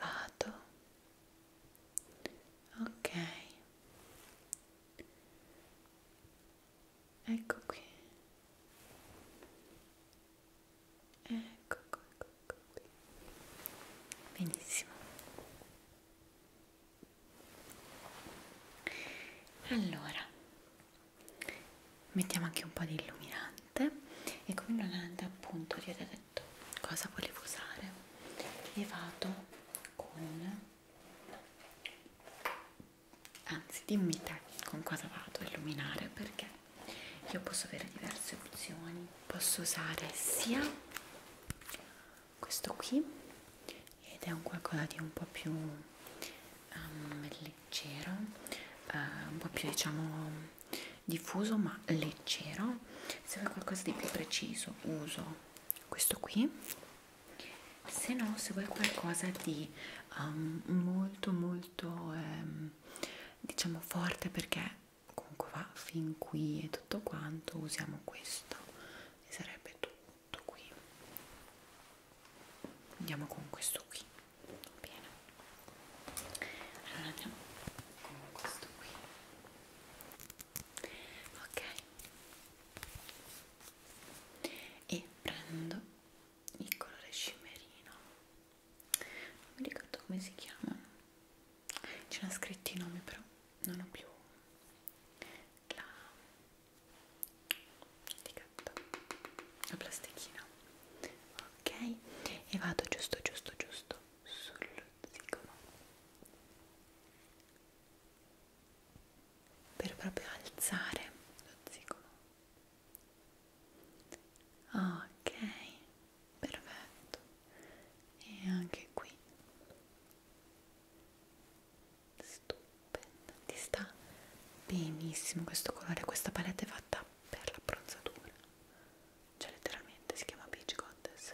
Vado. Ok. Ecco qui. Ecco, ecco, ecco, ecco qui. Benissimo allora mettiamo anche un po' di illuminante e con l'illuminante appunto vi ho detto cosa volevo usare e vado con anzi dimmi te con cosa vado a illuminare perché io posso avere diverse opzioni posso usare sia questo qui ed è un qualcosa di un po' più um, leggero uh, un po' più diciamo diffuso ma leggero se vuoi qualcosa di più preciso uso questo qui se no se vuoi qualcosa di um, molto molto um, diciamo forte perché comunque va fin qui e tutto quanto usiamo questo e sarebbe tutto qui andiamo con questo qui bene allora andiamo con questo qui ok e prendo il colore scimmerino non mi ricordo come si chiama c'era scritti i nomi però non ho più la etichetta la plastichina ok e vado giusto giusto giusto sullo zigomo per proprio alzare lo zigomo ok perfetto e anche qui stupenda ti sta benissimo questo colore questa palette è fatta per l'abbronzatura cioè letteralmente si chiama Peach Goddess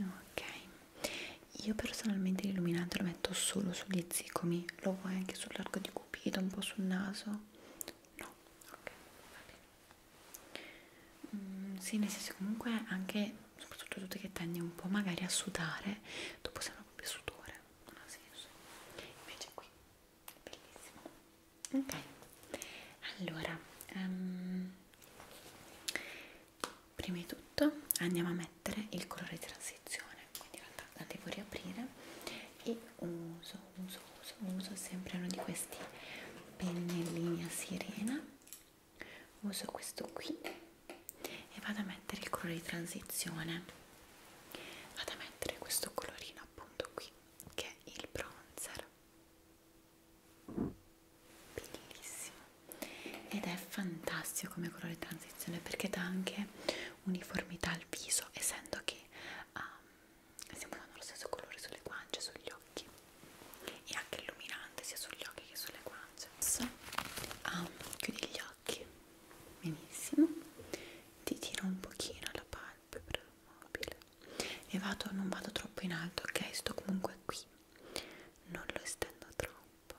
ok io personalmente l'illuminante lo metto solo sugli zigomi lo vuoi anche sull'arco di cupido un po' sul naso no ok va bene Mm, sì, nel senso comunque anche, soprattutto tutte che tendi un po' magari a sudare, dopo sembra proprio sudore, non ha senso. Invece qui, è bellissimo. Ok, allora, um, prima di tutto andiamo a mettere il colore di transizione, quindi in realtà la devo riaprire e uso, uso, uso, uso sempre uno di questi pennellini a sirena uso questo qui e vado a mettere il colore di transizione vado a mettere questo colorino appunto qui che è il bronzer bellissimo ed è fantastico come colore di transizione perché dà anche uniformità al viso essendo che um, sempre hanno lo stesso colore sulle guance, sugli occhi e anche illuminante sia sugli occhi che sulle guance so, um, chiudi gli occhi benissimo ti tiro un pochino la palpebra mobile e vado, non vado troppo in alto ok, sto comunque qui non lo estendo troppo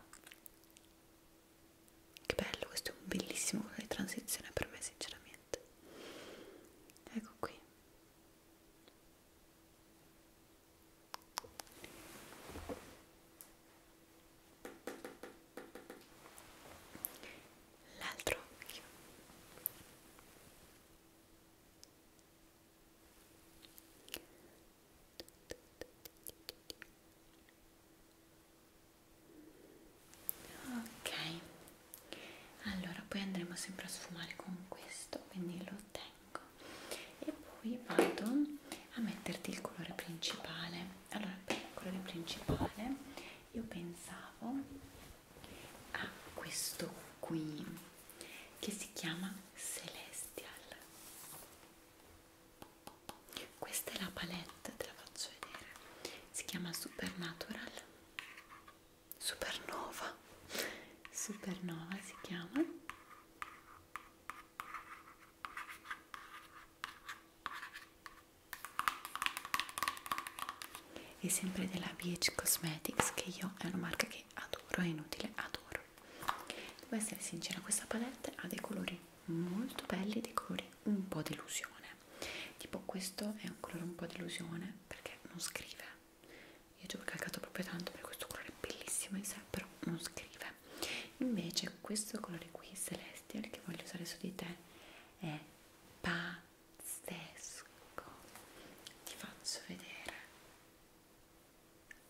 che bello, questo è un bellissimo colore di transizione per me sinceramente niente ecco qui l'altro occhio ok ok allora poi andremo sempre a sfumare con questo quindi lo tengo e poi vado a metterti il colore principale allora per il colore principale io pensavo a questo qui che si chiama celestial questa è la palette te la faccio vedere si chiama supernatural Supernova Supernova si chiama è sempre della BH Cosmetics che io è una marca che adoro, è inutile, adoro devo essere sincera, questa palette ha dei colori molto belli, dei colori un po' delusione tipo questo è un colore un po' delusione perché non scrive io ci ho calcato proprio tanto perché questo colore è bellissimo in sé però non scrive invece questo colore qui celestial che voglio usare su di te è pazzesco ti faccio vedere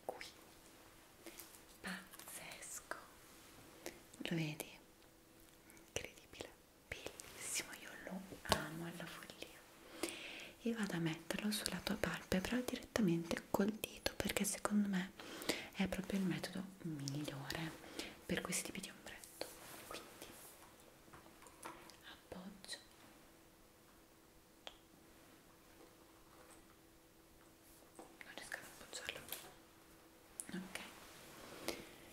qui pazzesco lo vedi incredibile bellissimo, io lo amo alla follia e vado a metterlo sulla tua palpebra direttamente col dito perché secondo me è proprio il metodo migliore per questi tipi di ombretto quindi appoggio non riesco ad appoggiarlo ok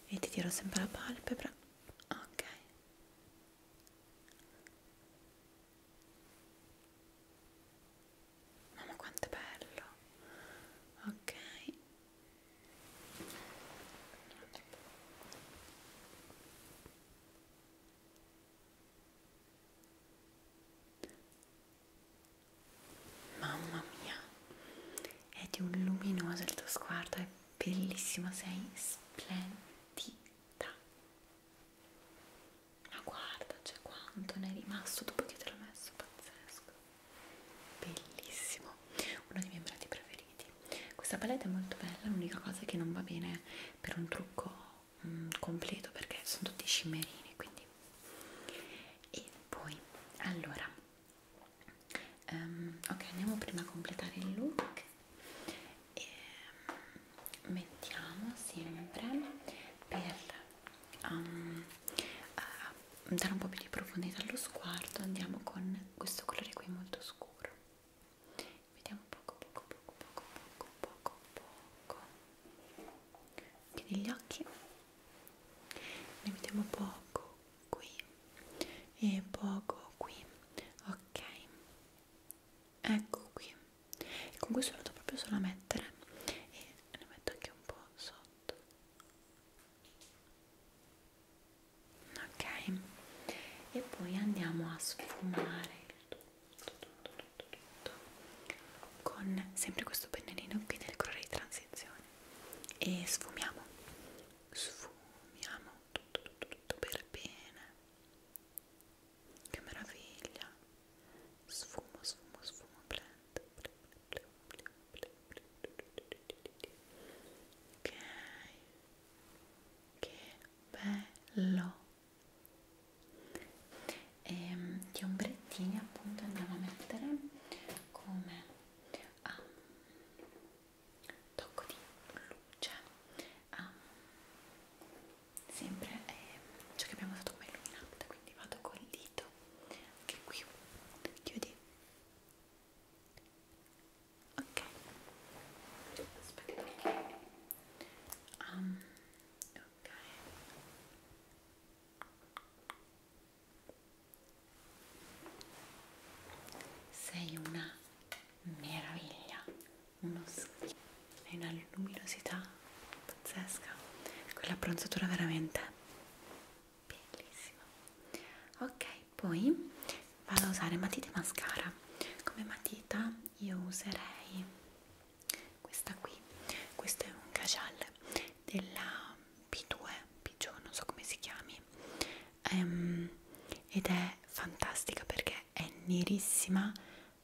e ti tiro sempre la palpebra ok mamma quanto è bello ok Mamma mia, è di un luminoso il tuo sguardo, è bellissimo, sei splendida. Ma guarda, c'è cioè quanto ne è rimasto dopo che te l'ho messo, pazzesco. Bellissimo, uno dei miei prati preferiti. Questa palette è molto bella, l'unica cosa che non va bene per un trucco mh, mm, completo perché sono tutti scimmerini, quindi... E poi, allora Um, ok, andiamo prima a completare il look e ehm, mettiamo sempre per um, uh, dare un po' più di profondità allo sguardo andiamo con questo colore qui molto scuro vediamo poco poco poco poco poco poco poco chiudi gli occhi ne mettiamo poco qui e poco qui ok ecco qui e con questo lo vado proprio solo a mettere e ne metto anche un po' sotto ok e poi andiamo a sfumare con sempre questo pennellino qui del colore di transizione e sfumiamo sfumiamo tutto, tutto, tutto per bene che meraviglia sfumo sfumo sfumo blend ok che bello e ehm, gli ombrettini appunto andiamo a mettere come a un tocco di luce a sempre è eh, ciò cioè che abbiamo usato come illuminante quindi vado col dito anche qui chiudi ok aspetta um, ok sei una meraviglia, uno schifo, hai una luminosità pazzesca, quella bronzatura veramente bellissima. Ok, poi vado a usare matita e mascara. Come matita io userei questa qui, questo è un cajal della P2 P2 non so come si chiami um, ed è fantastica perché è nerissima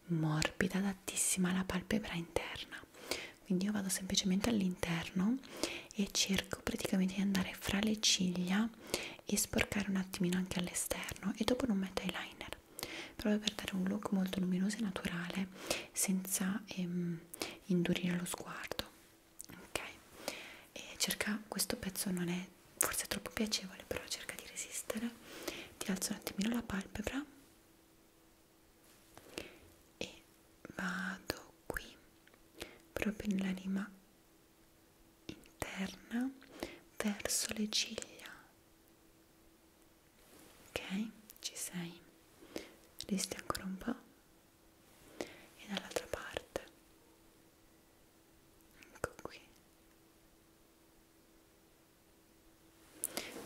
morbida adattissima alla palpebra interna quindi io vado semplicemente all'interno e cerco praticamente di andare fra le ciglia e sporcare un attimino anche all'esterno e dopo non metto eyeliner proprio per dare un look molto luminoso e naturale senza ehm, indurire lo sguardo ok e cerca questo pezzo non è forse è troppo piacevole però cerca di resistere ti alzo un attimino la palpebra e vado qui proprio nella rima interna verso le ciglia ok? Ci sei? Resti ancora un po' e dall'altra parte. Ecco qui.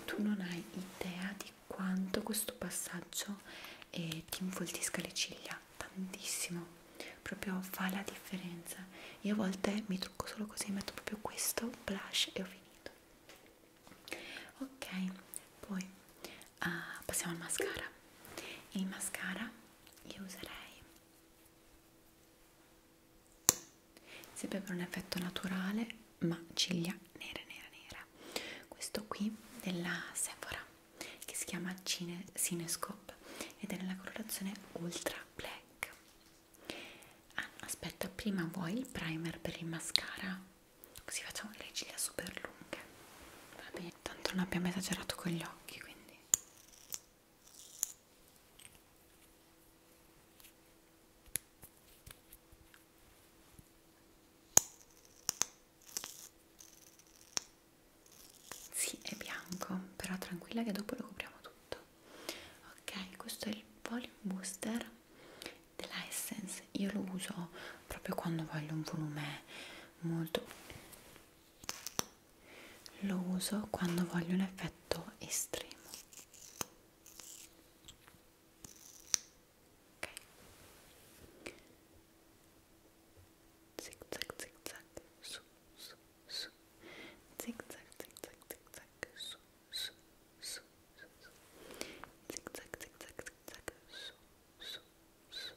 Tu non hai idea di quanto questo passaggio eh, ti infoltisca le ciglia, tantissimo. Proprio fa la differenza. Io a volte mi trucco solo così, metto proprio questo blush e ho finito ok poi uh, passiamo al mascara il mascara io userei sempre per un effetto naturale ma ciglia nere nera nera questo qui della Sephora che si chiama Cine Cinescope ed è nella colorazione Ultra Black ah, aspetta prima vuoi il primer per il mascara così facciamo delle ciglia super lunghe va bene tanto non abbiamo esagerato con gli occhi quindi sì è bianco però tranquilla che dopo lo copriamo tutto ok questo è il volume booster della Essence io lo uso proprio quando voglio un volume molto lo uso quando voglio un effetto estremo ok zig zag zig zag su su su zig zag zig zag zig zag su su su, su, su, zig zag, zig zag, zig zag, su, su, su,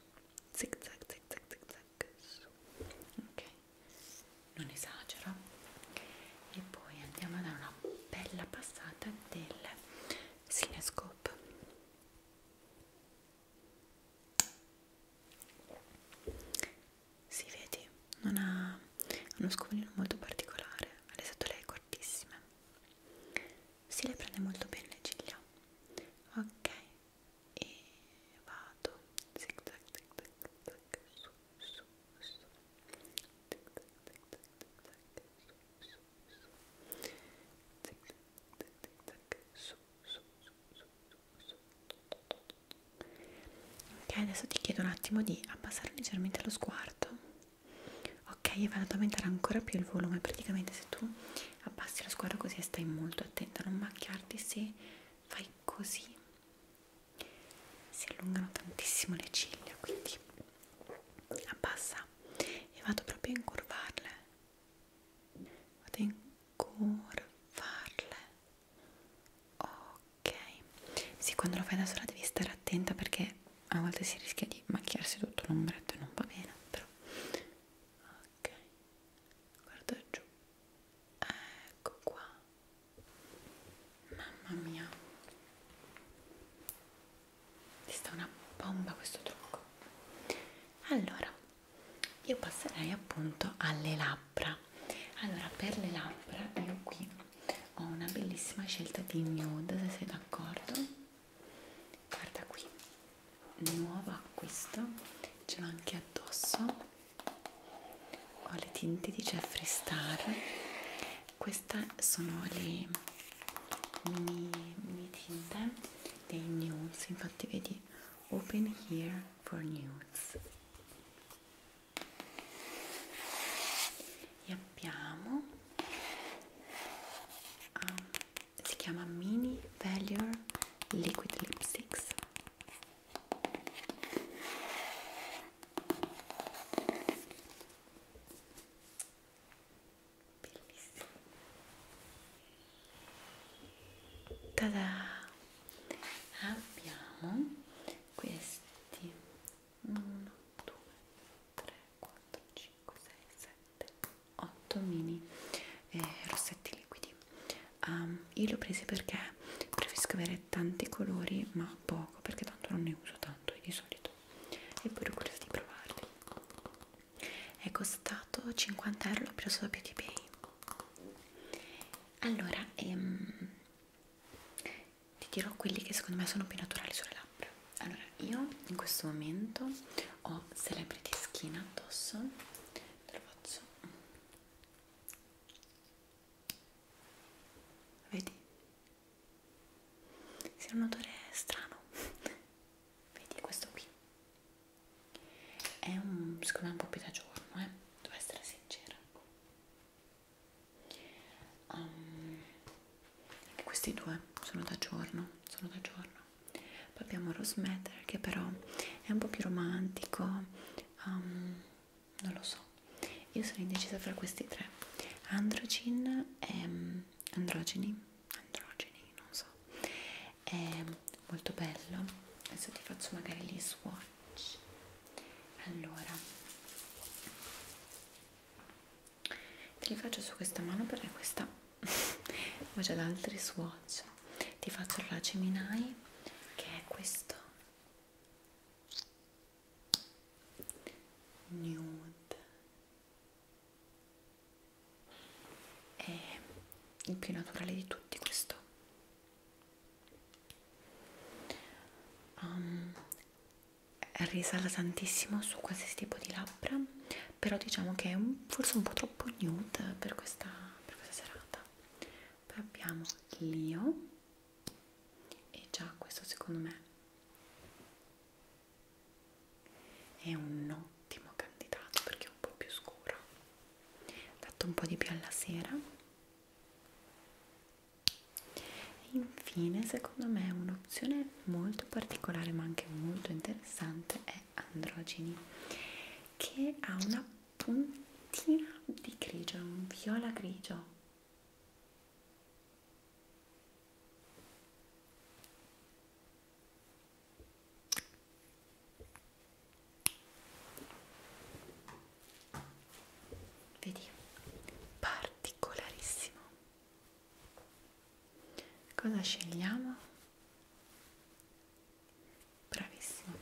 zig zag, zig zag, zig zag, su, ok, non esagero, e poi andiamo a dare una bella passata del Cinescope. Si vedi, non ha uno scovolino molto particolare, ha le setole cortissime si le prende molto bene le ciglia ok e vado zig zag zig zag zag su su su zig zag zig zag zig zag su su su su ok adesso ti chiedo un attimo di abbassare leggermente lo sguardo ok e vanno ad aumentare ancora più il volume praticamente se tu abbassi lo sguardo così e stai molto attenta a non macchiarti se fai così si allungano tantissimo le ciglia quindi abbassa e vado proprio a incurvarle vado a incurvarle ok ok sì quando lo fai da sola devi stare attenta perché a volte si rischia di macchiarsi tutto l'ombretto e non va bene però ok guarda giù ecco qua mamma mia ti sta una bomba questo trucco allora io passerei appunto alle labbra allora per le labbra io qui ho una bellissima scelta di nude se sei d'accordo guarda qui nuovo acquisto ce l'ho anche addosso ho le tinte di Jeffree Star queste sono le mini, mini tinte dei nudes infatti vedi open here for nudes e abbiamo um, si chiama Mini Valior Liquid Lipsticks bellissimo Tada! Abbiamo questi 1, 2, 3, 4, 5, 6, 7, 8 mini eh, rossetti liquidi. Um, io li ho presi perché preferisco avere tanti colori ma poco perché tanto non ne uso tanto di solito e poi ho curiosa di provarli. È costato 50 euro, l'ho preso da Beauty Bay. Allora, ehm, ti dirò quelli che secondo me sono più naturali sulle labbra allora io in questo momento ho celebrity skin addosso te lo faccio vedi? si è un odore strano vedi questo qui è un secondo me un po' più da giorno eh devo essere sincera Um, questi due sono da giorno, sono da giorno. Poi abbiamo Rose Matter che però è un po' più romantico, um, non lo so. Io sono indecisa fra questi tre. Androgin è mm, androgeni, androgeni, non so. È molto bello. Adesso ti faccio magari gli swatch touch allora te li faccio su questa mano perché questa ho già da altri swatch ti faccio la Gemini che è questo nude è il più naturale di tutti questo um, ehm, risala tantissimo su qualsiasi tipo di labbra però diciamo che è un, forse un po' troppo nude per questa, per questa serata poi abbiamo l'io e già questo secondo me è un ottimo candidato perché è un po' più scuro dato un po' di più alla sera e infine, secondo me, un'opzione molto particolare ma anche molto interessante è Androgeni, che ha una puntina di grigio, un viola grigio vedi particolarissimo cosa scegliamo bravissimo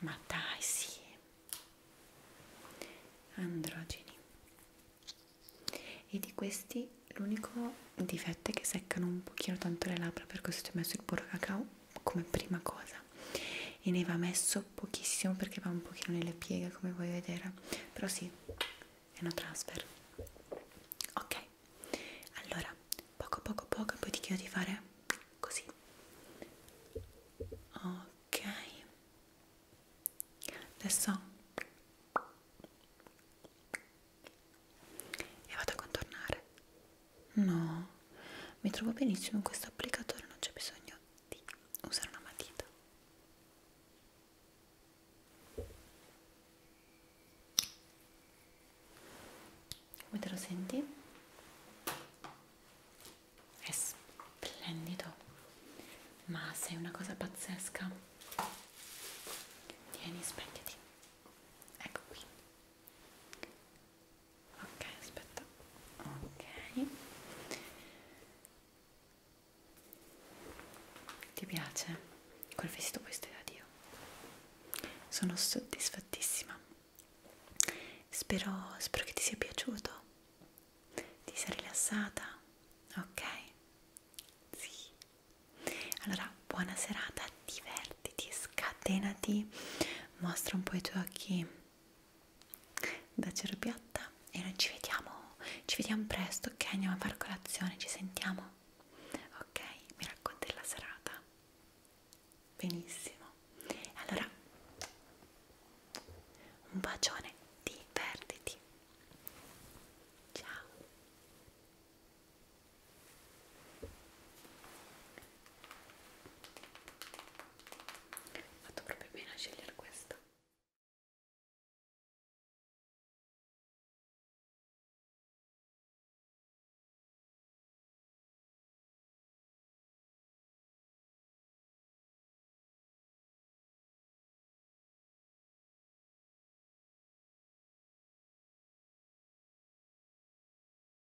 ma dai sì androgeni e di questi l'unico difetto è che seccano un pochino tanto le labbra per questo ho messo il burro cacao come prima cosa e ne va messo pochissimo perché va un pochino nelle pieghe come vuoi vedere però sì è una transfer ok allora poco poco poco e poi ti chiedo di fare così ok adesso e vado a contornare No, mi trovo benissimo in questo applicatore, non c'è bisogno di usare una matita. Come te lo senti? È splendido, ma sei una cosa pazzesca. Tieni, svegliati. Ecco qui ok aspetta ok ti piace? quel vestito questo è da Dio sono soddisfattissima spero, spero che ti sia piaciuto ti sei rilassata? ok? sì allora buona serata divertiti, scatenati mostra un po' i tuoi occhi da Cerbiatta e noi ci vediamo, ci vediamo presto, ok? Andiamo a far colazione, ci sentiamo, ok? Mi racconti la serata, benissimo. Allora, un bacione, divertiti, ciao ho fatto proprio bene a scegliere questo